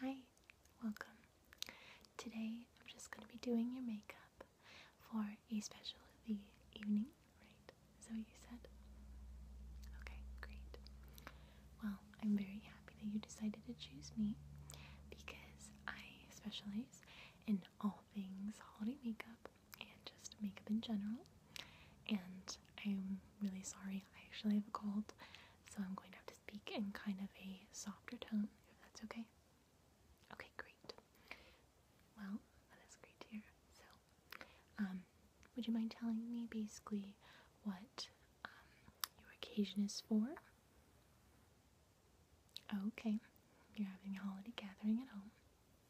Hi, welcome. Today I'm just going to be doing your makeup for a special the evening, right? Is that what you said? Okay, great. Well, I'm very happy that you decided to choose me because I specialize in all things holiday makeup and just makeup in general. And I'm really sorry, I actually have a cold. So I'm going to have to speak in kind of a softer tone, if that's okay. Okay, great. Well, that is great to hear. So, um, would you mind telling me basically what um, your occasion is for? Okay, you're having a holiday gathering at home.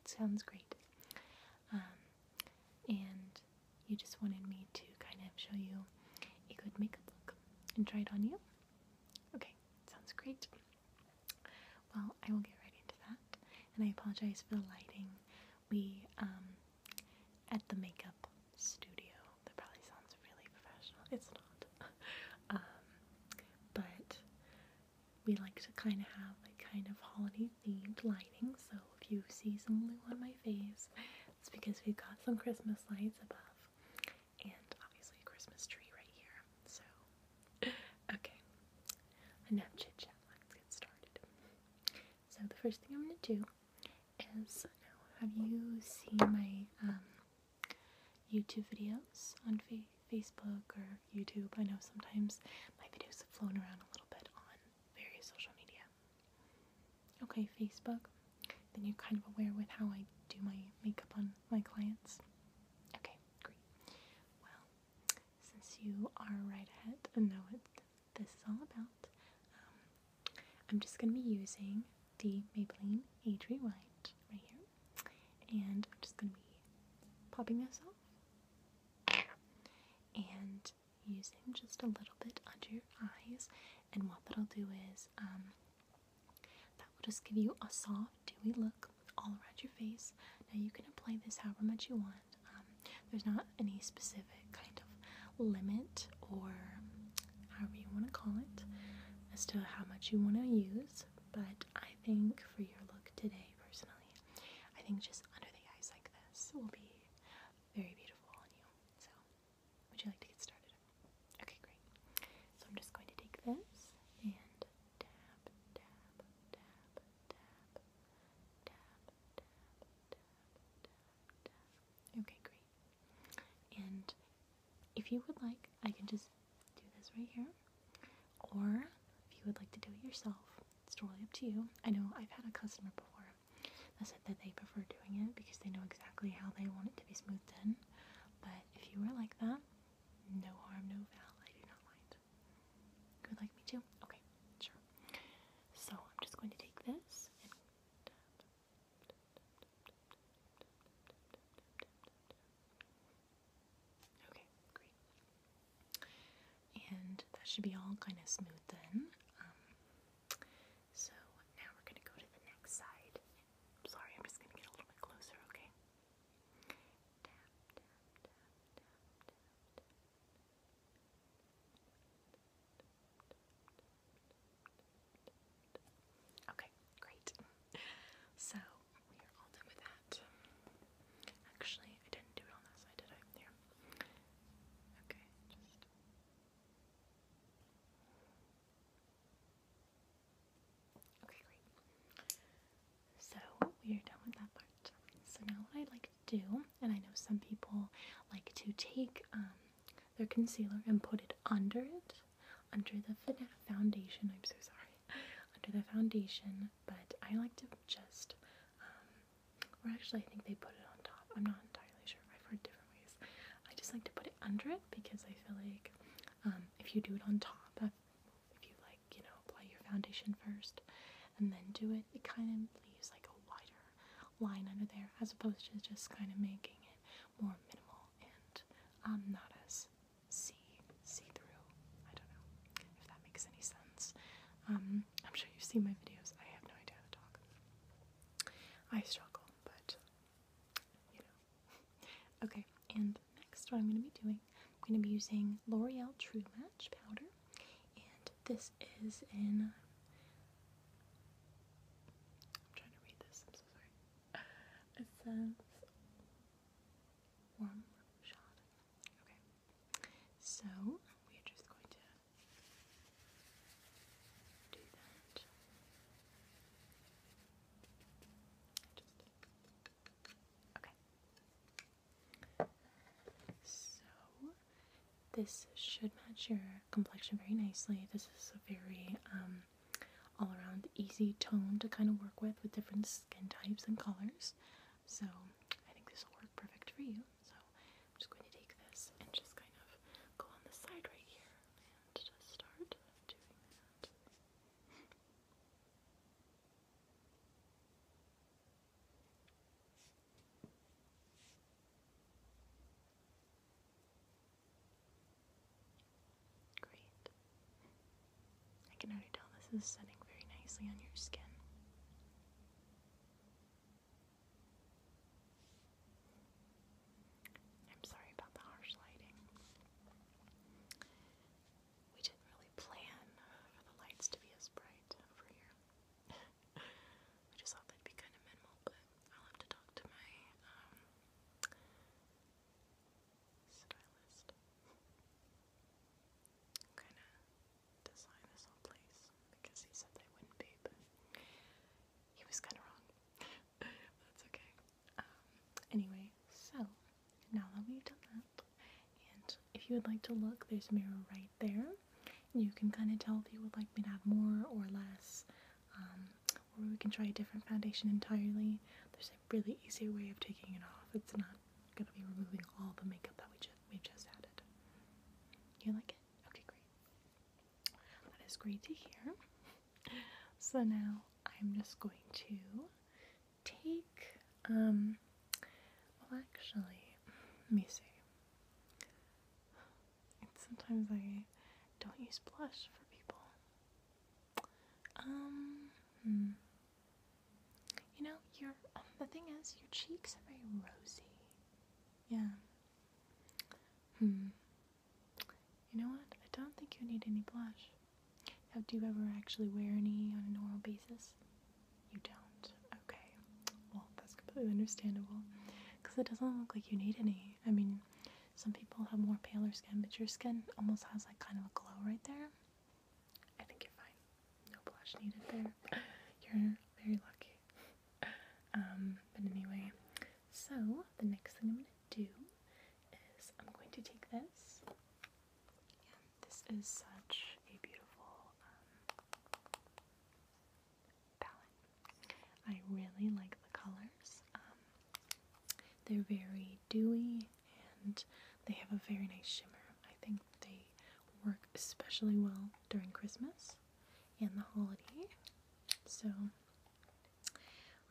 Sounds great. Um, and you just wanted me to kind of show you a good makeup look and try it on you. Okay, sounds great. Well, I will get right into that, and I apologize for the lighting. We, um, at the makeup studio, that probably sounds really professional. It's not. Um, but we like to kind of have like kind of holiday themed lighting, so if you see some blue on my face, it's because we've got some Christmas lights above and obviously a Christmas tree right here. So, okay, enough chit chat. Let's get started. So, the first thing I'm going to do is have you seen my um, YouTube videos on Facebook or YouTube? I know sometimes my videos have flown around a little bit on various social media okay Facebook, then you're kind of aware with how I do my makeup on my clients. Okay, great. Well, since you are right ahead and know what this is all about, um, I'm just going to be using the Maybelline Adri White right here, and I'm just going to be popping this off. And using just a little bit under your eyes, and what that'll do is um, that will just give you a soft, dewy look all around your face. Now, you can apply this however much you want, um, there's not any specific kind of limit or however you want to call it as to how much you want to use, but I think for your look today, personally, I think just under the eyes like this will be very beautiful on you. So would you like to get started? Okay, great. So I'm just going to take this and tap, tap, tap, tap, tap, tap, tap, tap, tap. Okay, great. And if you would like, I can just do this right here. Or if you would like to do it yourself, it's totally up to you. I know I've had a customer before they said that they prefer doing it because they know exactly how they want it to be smoothed in. But if you were like that, no harm, no foul. I do not mind. You would like me too, Okay, sure. So I'm just going to take this and Okay, great. And that should be all kind of smooth then. So now we're going to go to the next side. Sorry, I'm just going to get a little bit closer, okay? Okay, great. So we are all done with that. Actually, I didn't do it on that side, did I? Here. Okay, just Okay, great. So we are done with that part. So now what I like to do, and I know some people like to take um, their concealer and put it under it, under the foundation. I'm so sorry, under the foundation. But I like to just um, or actually, I think they put it on top. I'm not entirely sure. I've heard different ways. I just like to put it under it because I feel like um, if you do it on top, if you like, you know, apply your foundation first and then do it, it kind of leaves like a wider line under there as opposed to just kind of making it more minimal and um, not as see see through. I don't know if that makes any sense. Um, I'm sure you've seen my videos. I have no idea how to talk. I struggle, but you know. Okay, and next, what I'm going to be doing, I'm going to be using L'Oreal True Match powder, and this is in. I'm trying to read this. I'm so sorry. It says warm Okay, so we are just going to okay. So this should match your complexion very nicely. This is a very um, all around easy tone to kind of work with with different skin types and colors. So I think this will work perfect for you. So I'm just going to take this and just kind of go on the side right here and just start doing that. Great. I can already tell this is setting very nicely on your skin. I'm sorry about the harsh lighting. We didn't really plan for the lights to be as bright over here. we just thought they'd be kind of minimal, but I'll have to talk to my um, stylist. Kind of design this whole place because he said they wouldn't be, but he was kind of wrong. That's okay. Um, anyway, so now that we've done that, and if you would like to look, there's a mirror right there. You can kind of tell if you would like me to have more or less, um, or we can try a different foundation entirely. There's a really easy way of taking it off. It's not gonna be removing all the makeup that we just we've just added. You like it? Okay, great. That is great to hear. So now I'm just going to take, um, well, actually, let me see. sometimes I don't use blush for people. Um, hmm. You know, your um, the thing is, your cheeks are very rosy. Yeah. Hmm. You know what? I don't think you need any blush. do you ever actually wear any on an oral basis? You don't. Okay. Well, that's completely understandable, because it doesn't look like you need any. I mean, some people have more paler skin, but your skin almost has like kind of a glow right there. I think you're fine. No blush needed there. You're very lucky. Um, but anyway, so the next thing I'm going to do is I'm going to take this. this is such a beautiful um, palette. I really like the colors. Um, they're very dewy and they have a very nice shimmer. I think they work especially well during Christmas and the holiday. So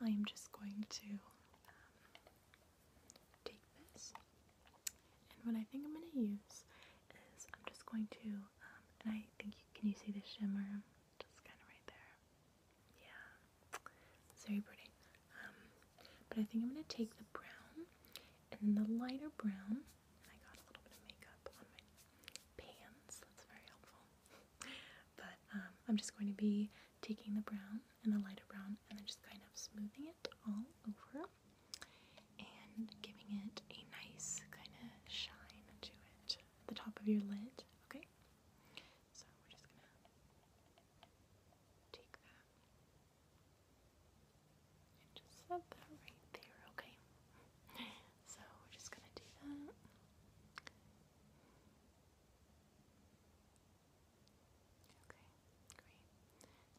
I am just going to um, take this, and what I think I'm going to use is I'm just going to, um, and I think can you see the shimmer? Just kind of right there. Yeah, very pretty. Um, but I think I'm going to take the brown and the lighter brown. I got a little bit of makeup on my pans. That's very helpful. but um, I'm just going to be taking the brown and the lighter brown and then just kind of smoothing it all over and giving it a nice kind of shine to it at the top of your lid. Okay? So we're just gonna take that just said that right there, okay? So we're just gonna do that. Okay, great.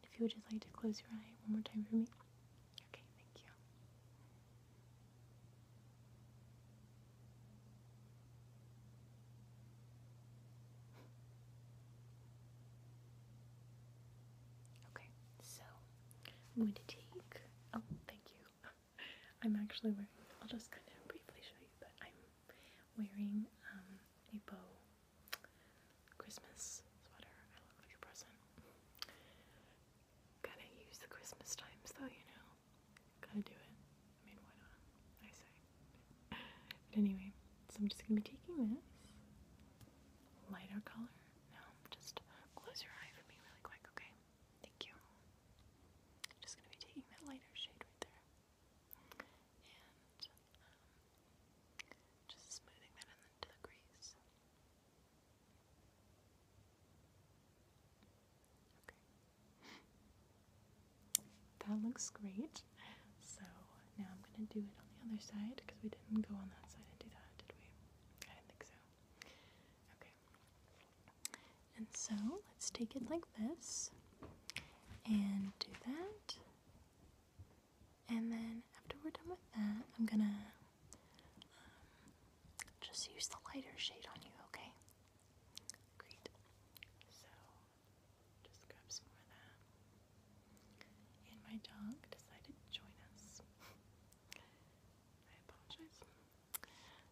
If you would just like to close your eye one more time for me. Okay, thank you. Okay, so I'm going to take. Oh, thank you. I'm actually wearing. I'll just kind of briefly show you, but I'm wearing um, a bow Christmas sweater. I love your present. Gotta use the Christmas times though, you know. Gotta do it. I mean, why not? I say. But anyway, so I'm just gonna be taking this lighter color. Now, just close your eye for me really quick, okay? Thank you. I'm just gonna be taking that lighter shade right there. And um, just smoothing that into the crease. Okay. That looks great. So now I'm going to do it on the other side because we didn't go on that side and do that, did we? I didn't think so. Okay. And so let's take it like this and do that. And then after we're done with that, I'm going to um, just use the lighter shade on you, okay? Great. So just grab some more of that. And my dog decided to join us. I apologize.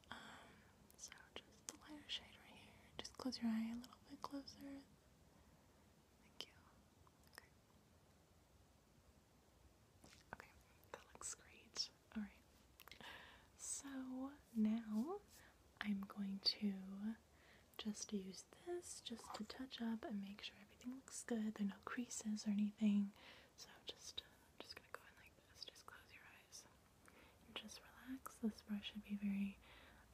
Um, so just the lighter shade right here. Just close your eye a little bit closer. Thank you. Okay, that looks great. Alright. So now I'm going to just to use this just to touch up and make sure everything looks good. There are no creases or anything. So just, uh, just gonna go in like this. Just close your eyes and just relax. This brush should be very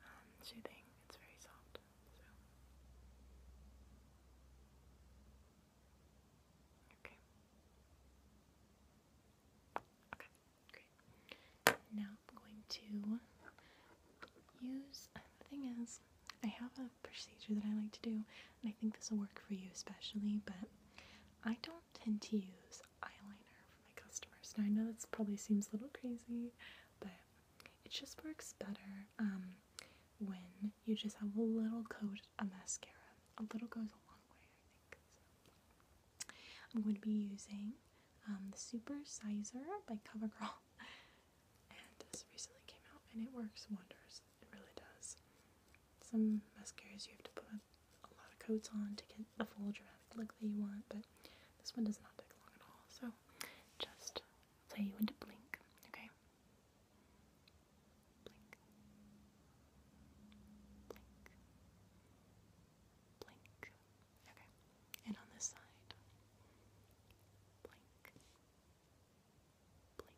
um, soothing. It's very soft. Okay. Okay. Great. Now I'm going to use uh, the thing is I have a procedure that I like to do and I think this will work for you especially but I don't tend to use eyeliner for my customers Now I know this probably seems a little crazy but it just works better um, when you just have a little coat of mascara a little goes a long way I think I'm going to be using um, the Super Sizer by CoverGirl and this recently came out and it works wonders. It really does. Some mascaras you have to put a lot of coats on to get the full dramatic look that you want, but this one does not take long at all. So just tell you when to blink, okay? Blink. Blink. Blink. Okay. And on this side. Blink. Blink. Blink.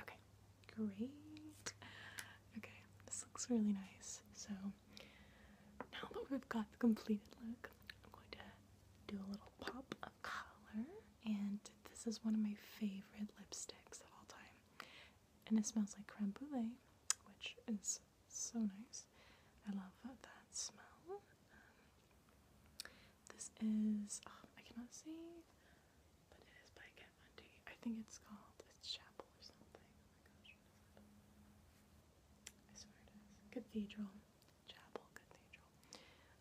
Okay. Great. Okay. This looks really nice. So now that we've got the completed look, I'm going to do a little pop of color. And this is one of my favorite lipsticks of all time. And it smells like creme brulee, which is so nice. I love that smell. Um, this is, oh, I cannot see, but it is by Kat Von think it's called, it's Chapel or something. Oh my gosh, I swear it is. Cathedral. Chapel Cathedral.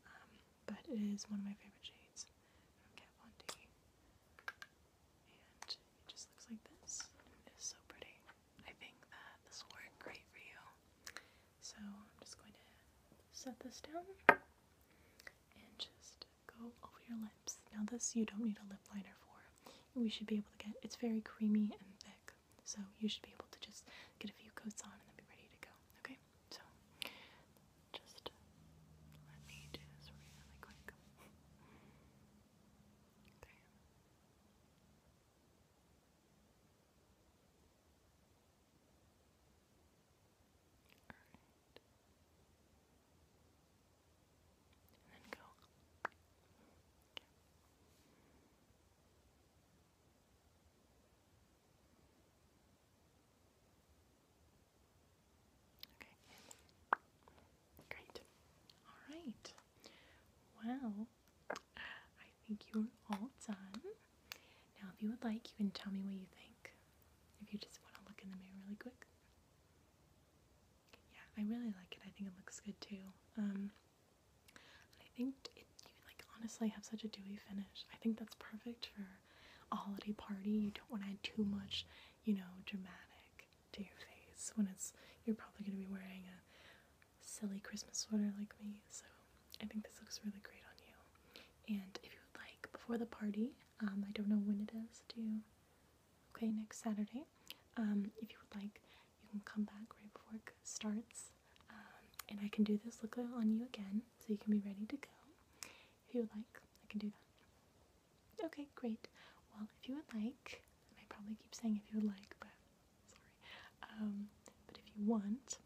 Um, but it is one of my favorite shades from Kat and it just looks like this. It is so pretty. I think that this will work great for you. So I'm just going to set this down and just go over your lips. Now this you don't need a lip liner for. We should be able to get, it's very creamy and thick. So you should be able to just get a few coats on and then be ready to go. Okay? So just let me do this really quick. Okay. And then go. Okay. Okay. Great. All right. Well, I think you're all done. Now, if you would like, you can tell me what you think. If you just want to look in the mirror really quick. Yeah, I really like it. I think it looks good too. Um, I think you like honestly have such a dewy finish. I think that's perfect for a holiday party. You don't want to add too much, you know, dramatic to your face when it's you're probably going to be wearing a silly Christmas sweater like me. So I think this looks really great on you. And if you would like, before the party, um, I don't know when it is. Do you? Okay, next Saturday. Um, if you would like, you can come back right before it starts, um, and I can do this look on you again, so you can be ready to go. If you would like, I can do that. Okay, great. Well, if you would like, and I probably keep saying if you would like, but sorry. Um, but if you want,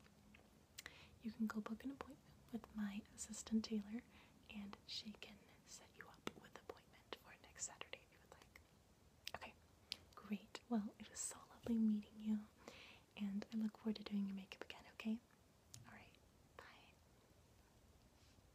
you can go book an appointment with my assistant Taylor, and she can set you up with appointment for next Saturday if you would like. Okay, great. Well, it was so lovely meeting you, and I look forward to doing your makeup again. Okay. All right. Bye.